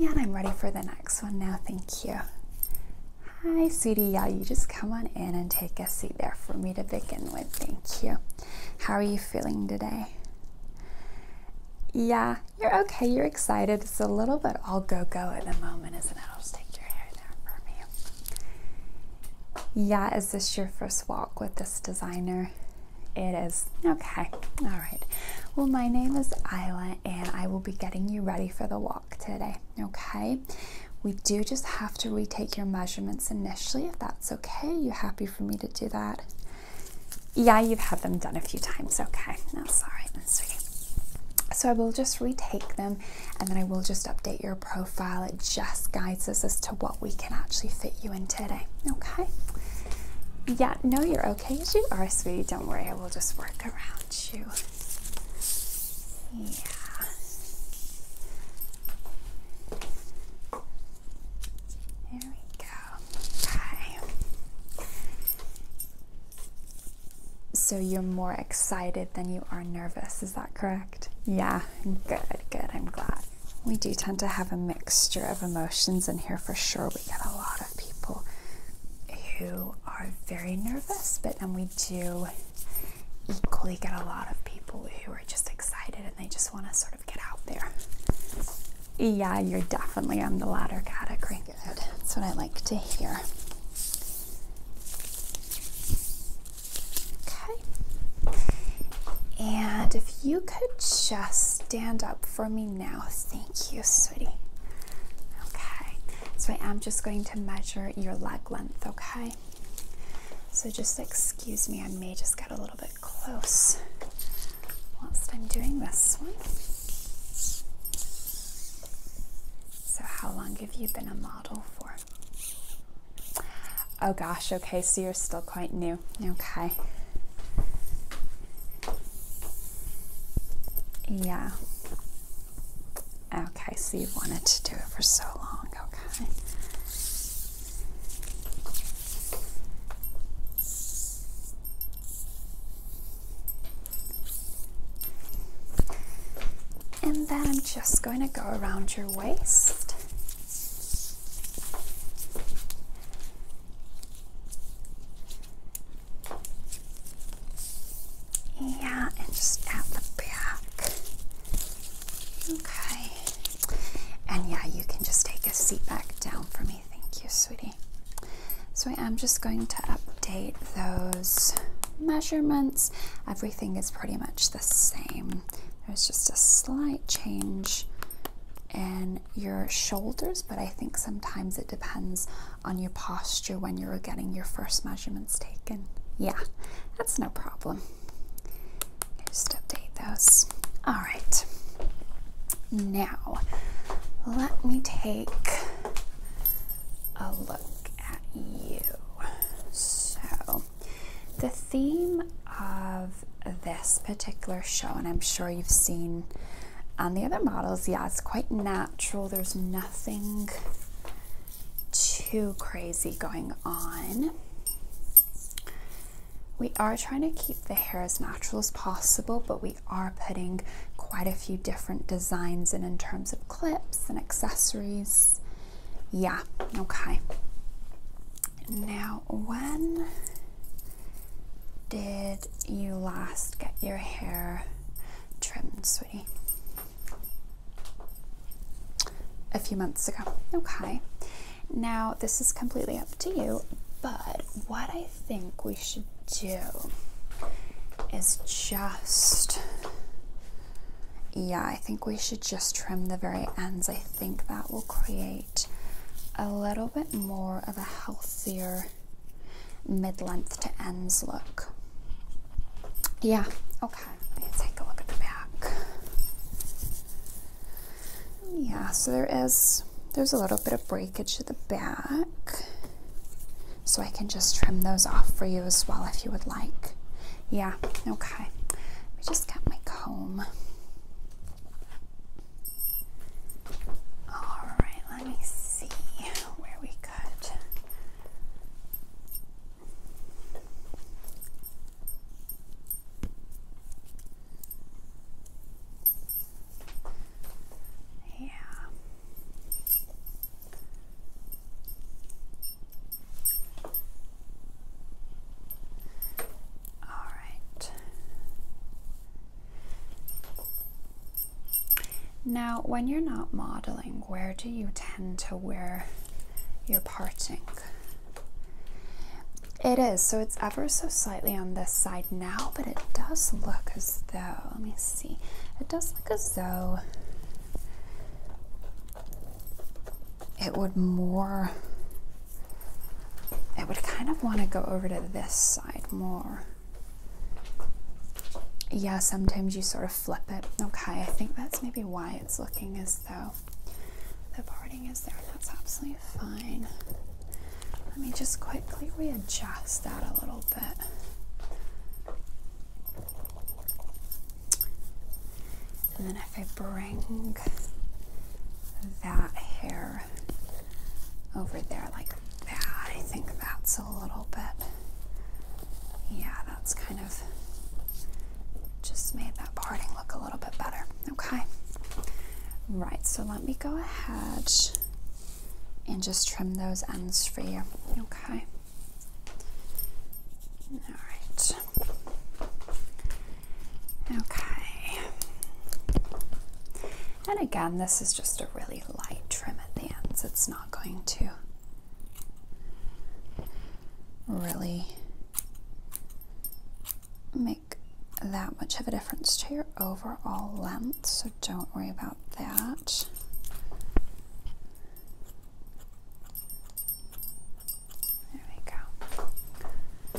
And I'm ready for the next one now, thank you. Hi, sweetie. Yeah, you just come on in and take a seat there for me to begin with. Thank you. How are you feeling today? Yeah, you're okay. You're excited. It's a little bit all go go at the moment, isn't it? I'll just take your hair there for me. Yeah, is this your first walk with this designer? It is. Okay. All right. Well, my name is Isla, and I will be getting you ready for the walk today. Okay, we do just have to retake your measurements initially if that's okay. You happy for me to do that? Yeah, you've had them done a few times. Okay, that's all right, then, So I will just retake them and then I will just update your profile. It just guides us as to what we can actually fit you in today. Okay. Yeah, no, you're okay okay? You are sweet. Don't worry. I will just work around you. Yeah. There we go. Okay. So you're more excited than you are nervous, is that correct? Yeah, good, good, I'm glad. We do tend to have a mixture of emotions in here for sure. We get a lot of people who are very nervous, but then we do equally get a lot of people who are just excited and they just want to sort of get out there. Yeah, you're definitely on the latter category. Good. That's what I like to hear. Okay. And if you could just stand up for me now, Sam. Thank you, sweetie. Okay, so I am just going to measure your leg length, okay? So just excuse me, I may just get a little bit close whilst I'm doing this one. So, how long have you been a model for? Oh gosh, okay, so you're still quite new. Okay. Yeah. Okay, so you wanted to do it for so long, okay. And then I'm just going to go around your waist. Yeah, and just at the back. Okay. And yeah, you can just take a seat back down for me. Thank you, sweetie. So I am just going to update those measurements. Everything is pretty much the same. There's just a slight change in your shoulders, but I think sometimes it depends on your posture when you were getting your first measurements taken. Yeah, that's no problem. Just update those. All right. Now, let me take a look at you. So, the theme of this particular show, and I'm sure you've seen on the other models, yeah, it's quite natural. There's nothing too crazy going on. We are trying to keep the hair as natural as possible, but we are putting quite a few different designs in in terms of clips and accessories. Yeah, okay. Now, when did you last get your hair trimmed, sweetie, a few months ago. Okay, now this is completely up to you, but what I think we should do is just. Yeah, I think we should just trim the very ends. I think that will create a little bit more of a healthier mid-length to ends look. Yeah, okay. Let me take a look at the back. Yeah, so there is there's a little bit of breakage at the back. So I can just trim those off for you as well if you would like. Yeah, okay. I just got my comb. All right, let me see where we Good. Yeah. All right. Now, when you're not modeling, where do you tend to wear your parting? It is, so it's ever so slightly on this side now, but it does look as though, let me see, it does look as though it would more, it would kind of want to go over to this side more yeah, sometimes you sort of flip it. Okay, I think that's maybe why it's looking as though the parting is there. That's absolutely fine. Let me just quickly readjust that a little bit. And then if I bring that hair over there like yeah, I think that's a little bit. Yeah, that's kind of just made that parting look a little bit better. Okay. Right, so let me go ahead and just trim those ends for you. Okay. All right. Okay. And again, this is just a really light trim at the ends. It's not going to really make that much of a difference to your overall length, so don't worry about that. There we go.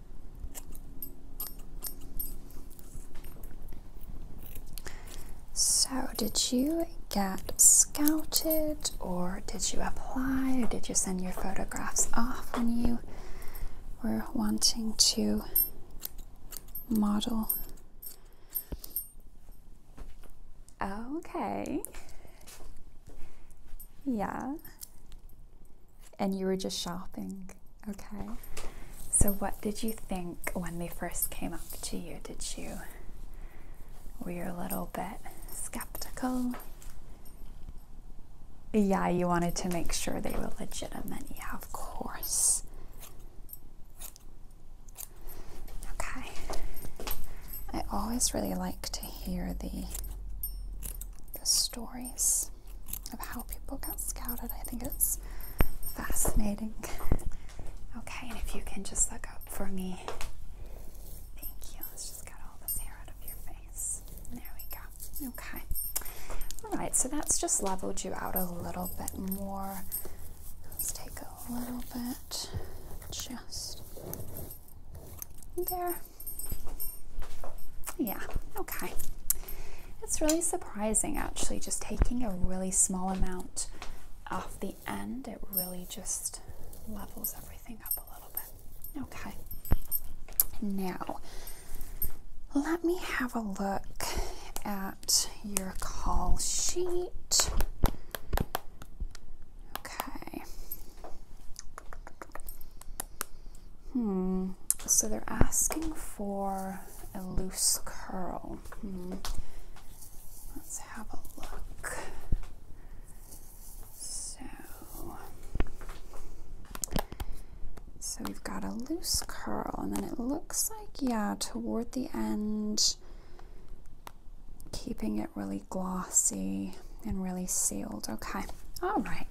So, did you get scouted, or did you apply, or did you send your photographs off when you were wanting to model? Okay. Yeah and you were just shopping. Okay. So, what did you think when they first came up to you? Did you, were you a little bit skeptical? Yeah, you wanted to make sure they were legitimate. Yeah, of course. Okay. I always really like to hear the the stories of how people get scouted. I think it's fascinating. Okay, and if you can just look up for me. Thank you. Let's just get all this hair out of your face. There we go. Okay. Alright, so that's just leveled you out a little bit more. Let's take a little bit. Just there. Yeah, okay. It's really surprising actually, just taking a really small amount off the end, it really just levels everything up a little bit. Okay, now let me have a look at your call sheet. Okay. Hmm. So they're asking for a loose curl. Hmm. Let's have a look. So, so we've got a loose curl, and then it looks like, yeah, toward the end, keeping it really glossy and really sealed. Okay, all right.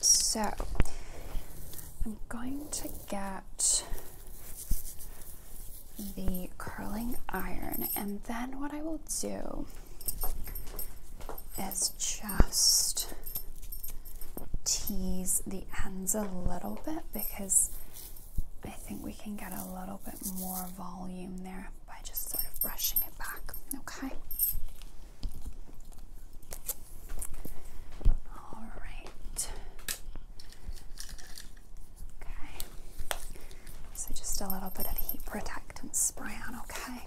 So I'm going to get the curling iron, and then what I will do is just tease the ends a little bit because I think we can get a little bit more volume there by just sort of brushing it back, okay? All right. Okay. So just a little bit of heat protectant spray on, okay?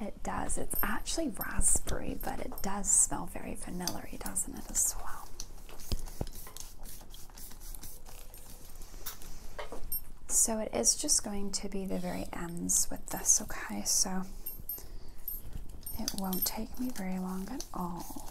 It does. It's actually raspberry, but it does smell very vanilla doesn't as well. So it is just going to be the very ends with this, okay? So it won't take me very long at all.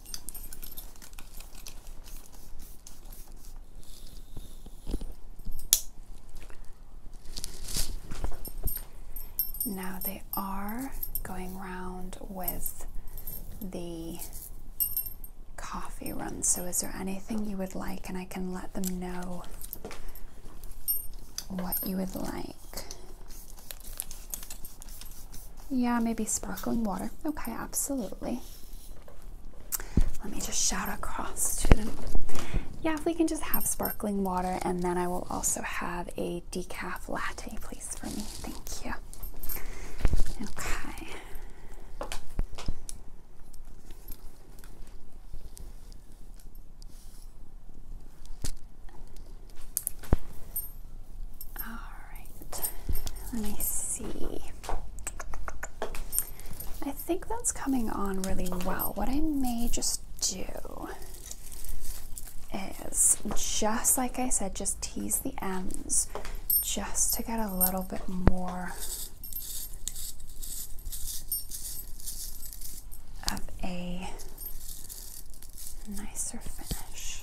Now they are going round with the coffee run. So is there anything you would like? And I can let them know what you would like. Yeah, maybe sparkling water. Okay, absolutely. Let me just shout across to them. Yeah, if we can just have sparkling water, and then I will also have a decaf latte, please, for me. Thank you. Okay. Alright, let me see. I think that's coming on really well. What I may just do is just like I said, just tease the ends just to get a little bit more of a nicer finish.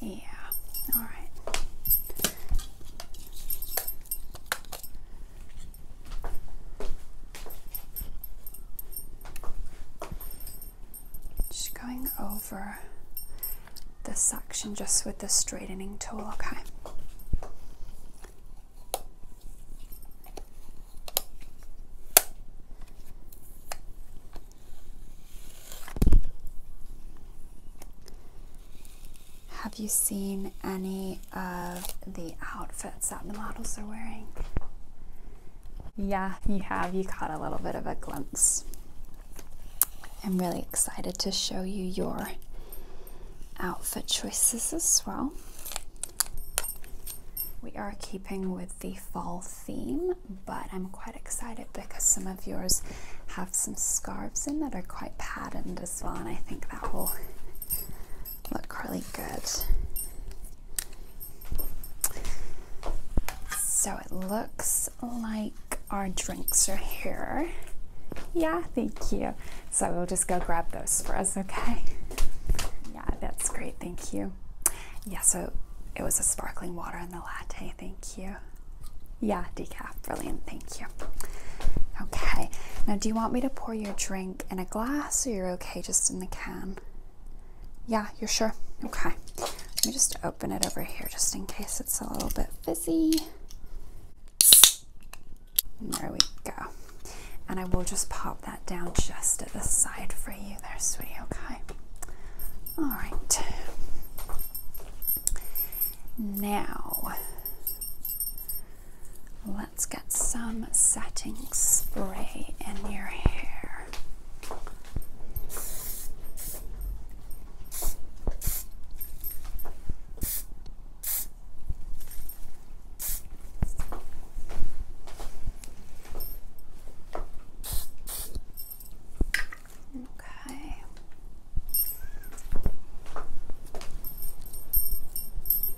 Yeah, all right. Just going over the section just with the straightening tool, okay? Have you seen any of the outfits that the models are wearing? Yeah, you have. You caught a little bit of a glimpse. I'm really excited to show you your outfit choices as well we are keeping with the fall theme, but I'm quite excited because some of yours have some scarves in that are quite patterned as well, and I think that will look really good. So it looks like our drinks are here. Yeah, thank you. So we'll just go grab those for us, okay? Yeah, that's great. Thank you. Yeah, so it was a sparkling water and the latte. Thank you. Yeah, decaf. Brilliant. Thank you. Okay. Now, do you want me to pour your drink in a glass or you're okay just in the can? Yeah, you're sure? Okay. Let me just open it over here just in case it's a little bit fizzy. there we go and I will just pop that down just at the side for you there, sweetie, okay? All right. Now, let's get some setting spray in your hair. Okay.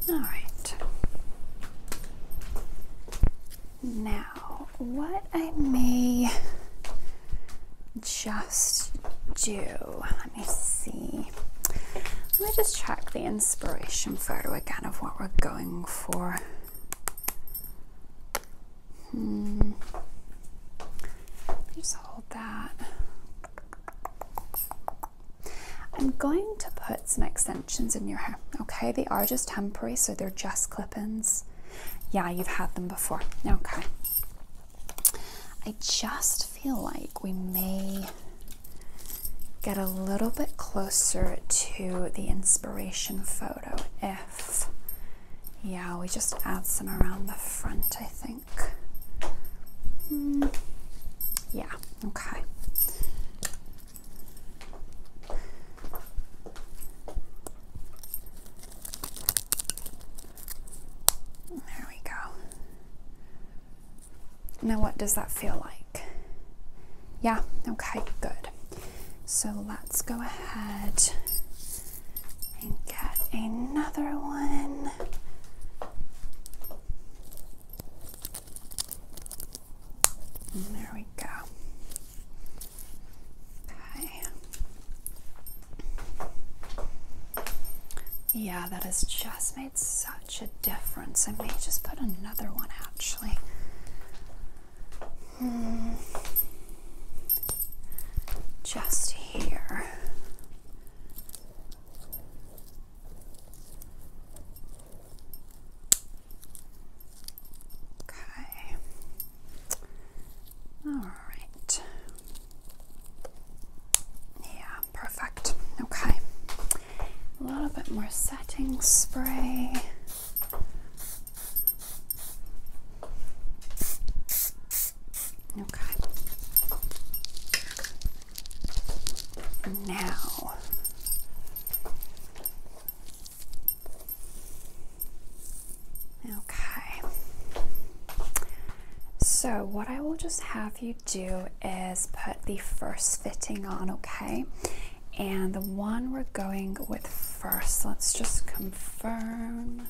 All right. Now, what I may just do, let me see. Let me just check the inspiration photo again of what we're going for. Hmm. Just hold that. I'm going to put some extensions in your hair. Okay, they are just temporary, so they're just clip-ins. Yeah, you've had them before. Okay. I just feel like we may get a little bit closer to the inspiration photo if yeah we just add some around the front I think hmm, yeah okay there we go now what does that feel like yeah, okay, good. So let's go ahead and get another one. there we go. Okay. Yeah, that has just made such a difference. I may just put another one out Hmm. Just here. Okay. All right. Yeah, perfect. Okay a little bit more setting spray. Okay. Now, okay. So, what I will just have you do is put the first fitting on, okay? and the one we're going with first let's just confirm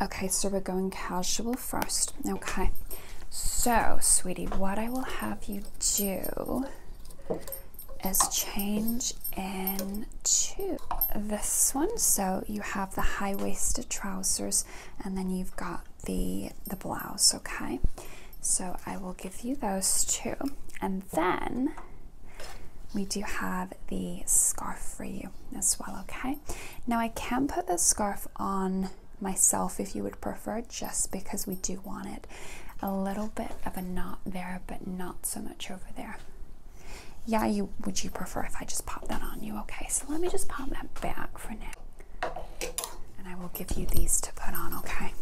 okay so we're going casual first okay so sweetie what i will have you do is change into this one so you have the high-waisted trousers and then you've got the the blouse okay so i will give you those two and then we do have the scarf for you as well okay now i can put the scarf on myself if you would prefer just because we do want it a little bit of a knot there but not so much over there yeah you would you prefer if i just pop that on you okay so let me just pop that back for now and I will give you these to put on, okay?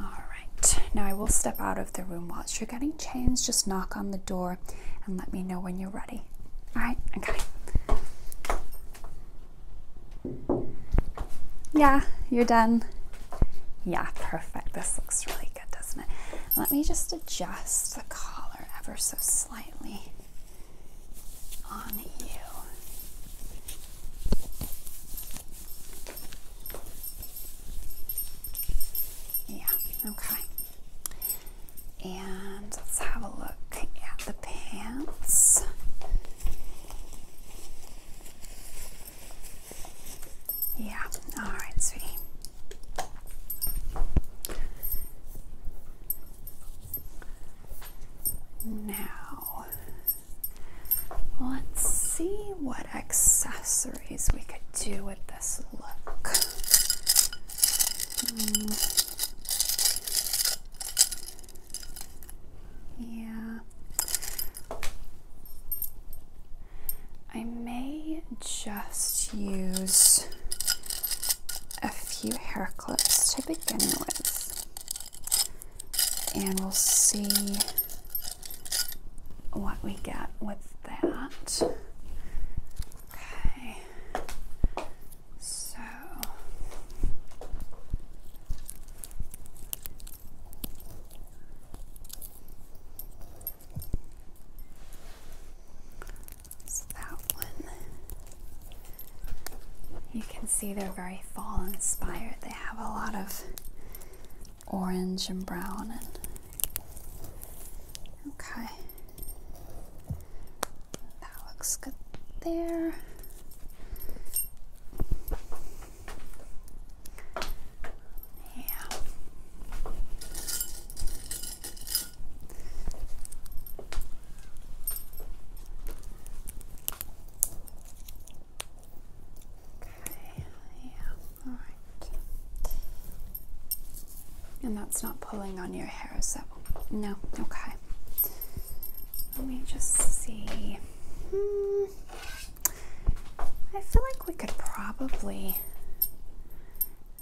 All right. Now I will step out of the room whilst you're getting changed. Just knock on the door and let me know when you're ready. All right? Okay. Yeah, you're done. Yeah, perfect. This looks really good, doesn't it? Let me just adjust the collar ever so slightly on you. Yeah, okay. And let's have a look at the pants. Yeah, all right, sweetie. Now, Let's see what accessories we could do with this look. Hmm. Yeah. I may just use a few hair clips to begin with and we'll see what we get with that. Okay, so that one you can see they're very fall inspired. They have a lot of orange and brown okay. That looks good there. Yeah. Okay, yeah, alright. And that's not pulling on your hair, so no, okay. Let me just see. Hmm. I feel like we could probably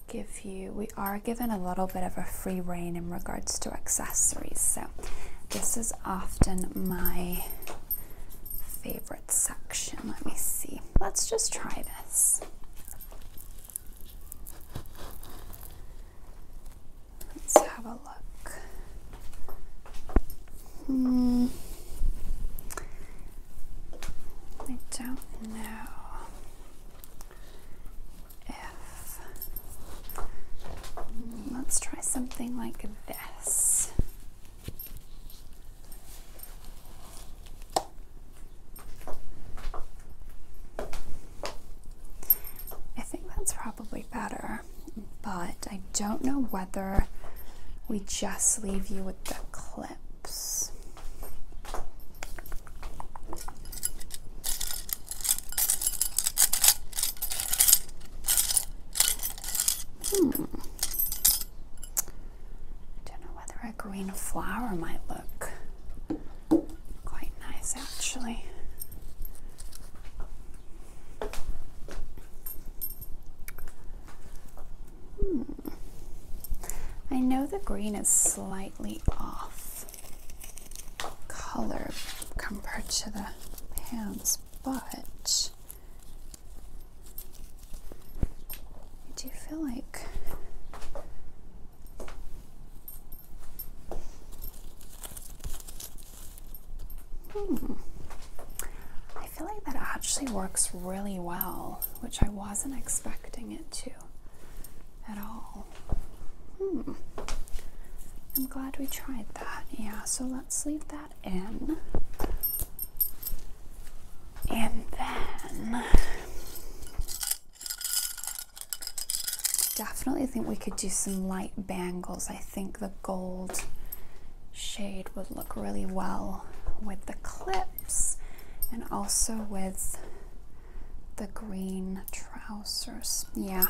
give you, we are given a little bit of a free reign in regards to accessories, so this is often my favorite section. Let me see. Let's just try this. Let's have a look. Hmm. I don't know let's try something like this. I think that's probably better, but I don't know whether we just leave you with the clips. Hmm. don't know whether a green flower might look quite nice actually. Hmm. I know the green is slightly off color compared to the pants, but I do feel like hmm. I feel like that actually works really well, which I wasn't expecting it to at all. Hmm. I'm glad we tried that. Yeah, so let's leave that in. And then definitely think we could do some light bangles. I think the gold shade would look really well with the clips and also with the green trousers. Yeah.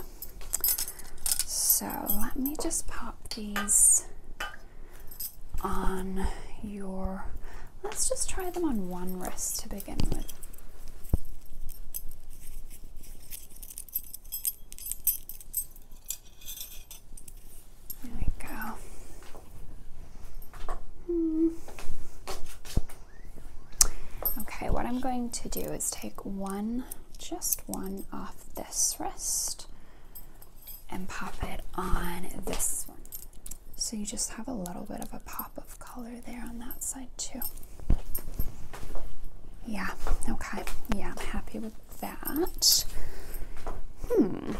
So let me just pop these on your, let's just try them on one wrist to begin with. There we go. Hmm. Okay, what I'm going to do is take one just one off this wrist and pop it on this one. So you just have a little bit of a pop of color there on that side too. Yeah, okay. Yeah, I'm happy with that. Hmm.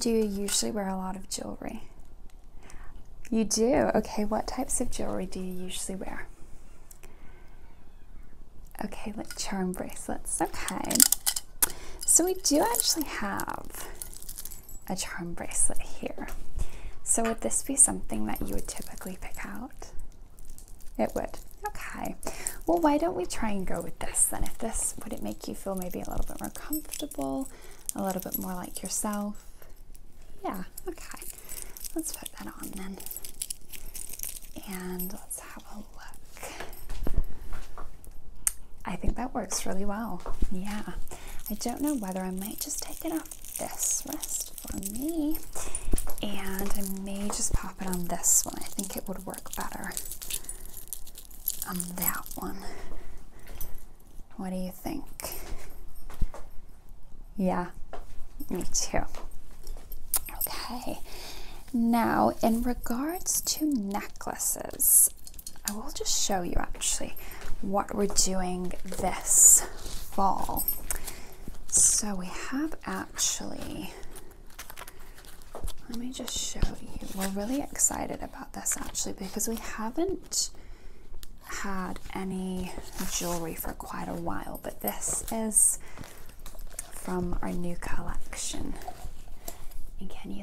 Do you usually wear a lot of jewelry? You do? Okay, what types of jewelry do you usually wear? Okay, like charm bracelets. Okay. So we do actually have a charm bracelet here. So would this be something that you would typically pick out? It would. Okay. Well, why don't we try and go with this then? If this would it make you feel maybe a little bit more comfortable, a little bit more like yourself. Yeah, okay. Let's put that on then. And let's have a look. I think that works really well. Yeah. I don't know whether I might just take it off this wrist for me. And I may just pop it on this one. I think it would work better on that one. What do you think? Yeah, me too. Okay, now in regards to necklaces, I will just show you actually what we're doing this fall. So we have actually, let me just show you, we're really excited about this actually because we haven't had any jewelry for quite a while, but this is from our new collection.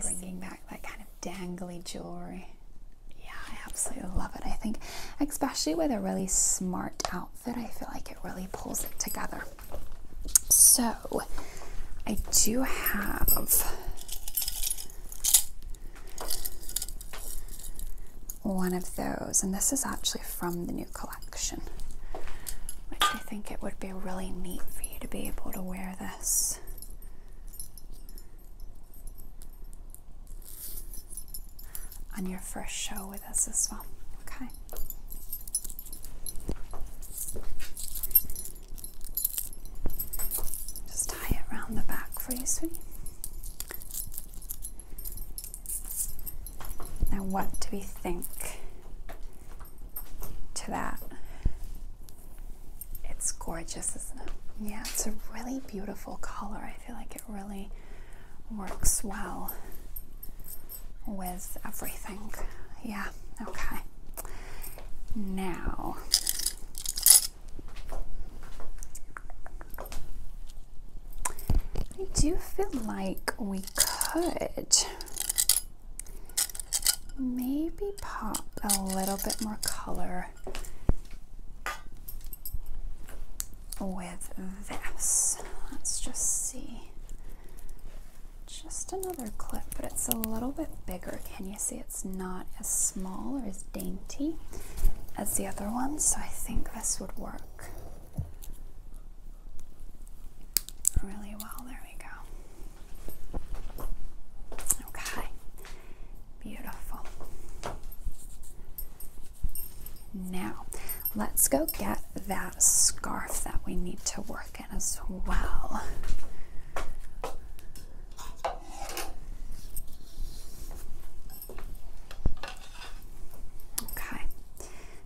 bringing back that kind of dangly jewelry? Yeah, I absolutely love it. I think, especially with a really smart outfit, I feel like it really pulls it together. So, I do have one of those, and this is actually from the new collection, which I think it would be really neat for you to be able to wear this. On your first show with us as well. Okay. Just tie it around the back for you, sweetie. Now, what do we think to that? It's gorgeous, isn't it? Yeah, it's a really beautiful color. I feel like it really works well with everything. Yeah, okay. Now, I do feel like we could maybe pop a little bit more color with this. Let's just see. Just another clip, but it's a little bit bigger. Can you see it's not as small or as dainty as the other one, so I think this would work really well. There we go. Okay, beautiful. Now, let's go get that scarf that we need to work in as well. Okay,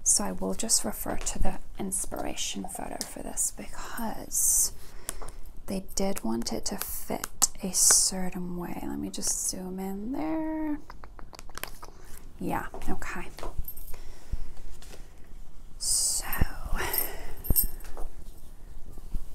so I will just refer to the inspiration photo for this because they did want it to fit a certain way. Let me just zoom in there. Yeah, okay. So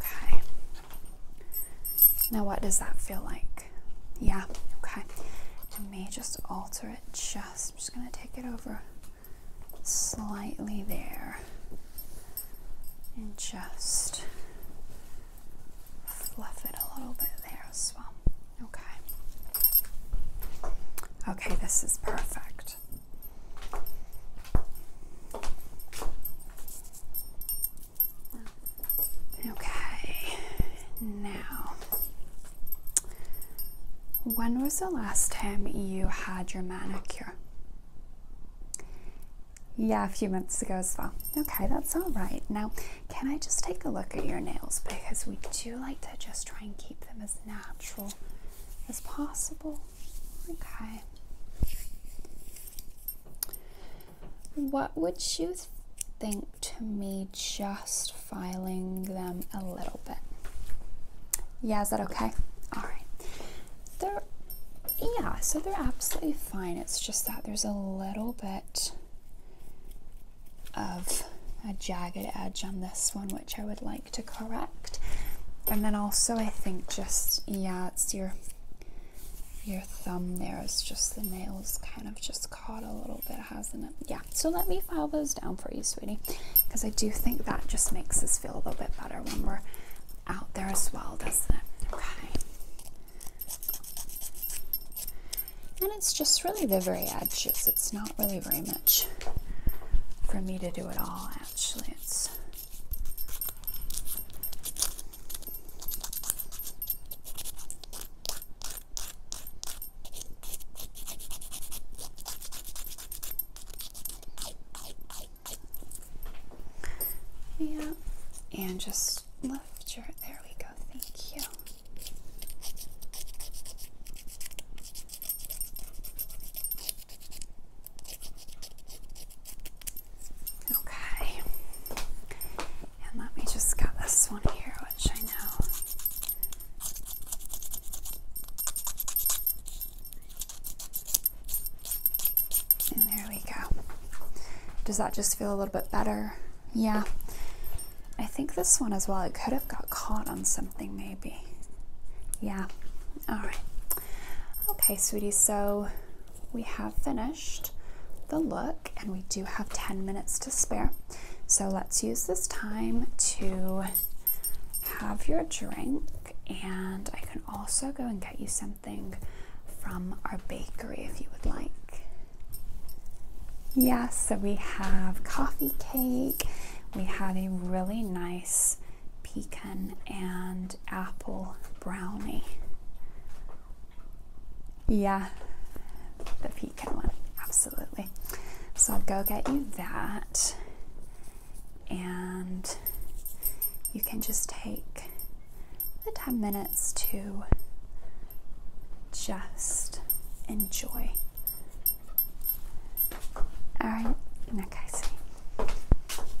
Okay. Now, what does that feel like? Yeah, okay. I may just alter it just, I'm just going to take it over slightly there and just fluff it a little bit there as well. Okay. Okay, this is perfect. Okay, now, when was the last time you had your manicure? Yeah, a few months ago as well. Okay, that's all right. Now, can I just take a look at your nails? Because we do like to just try and keep them as natural as possible. Okay. What would you think to me just filing them a little bit? Yeah, is that okay? All right. They're, yeah, so they're absolutely fine. It's just that there's a little bit of a jagged edge on this one, which I would like to correct. And then also I think just, yeah, it's your your thumb there is just the nails kind of just caught a little bit, hasn't it? Yeah, so let me file those down for you, sweetie, because I do think that just makes us feel a little bit better when we're out there as well, doesn't it? Okay. And it's just really the very edges. It's not really very much for me to do at all, actually. It's yeah, and just lift your. There we go. Thank you. Okay, and let me just get this one here, which I know and there we go. Does that just feel a little bit better? Yeah. I think this one as well. It could have got caught on something maybe. Yeah. All right. Okay, sweetie. So we have finished the look and we do have 10 minutes to spare. So let's use this time to have your drink and I can also go and get you something from our bakery if you would like. Yes, so we have coffee cake. We have a really nice pecan and apple brownie. Yeah, the pecan one, absolutely. So I'll go get you that and you can just take the 10 minutes to just enjoy. All right, okay, see.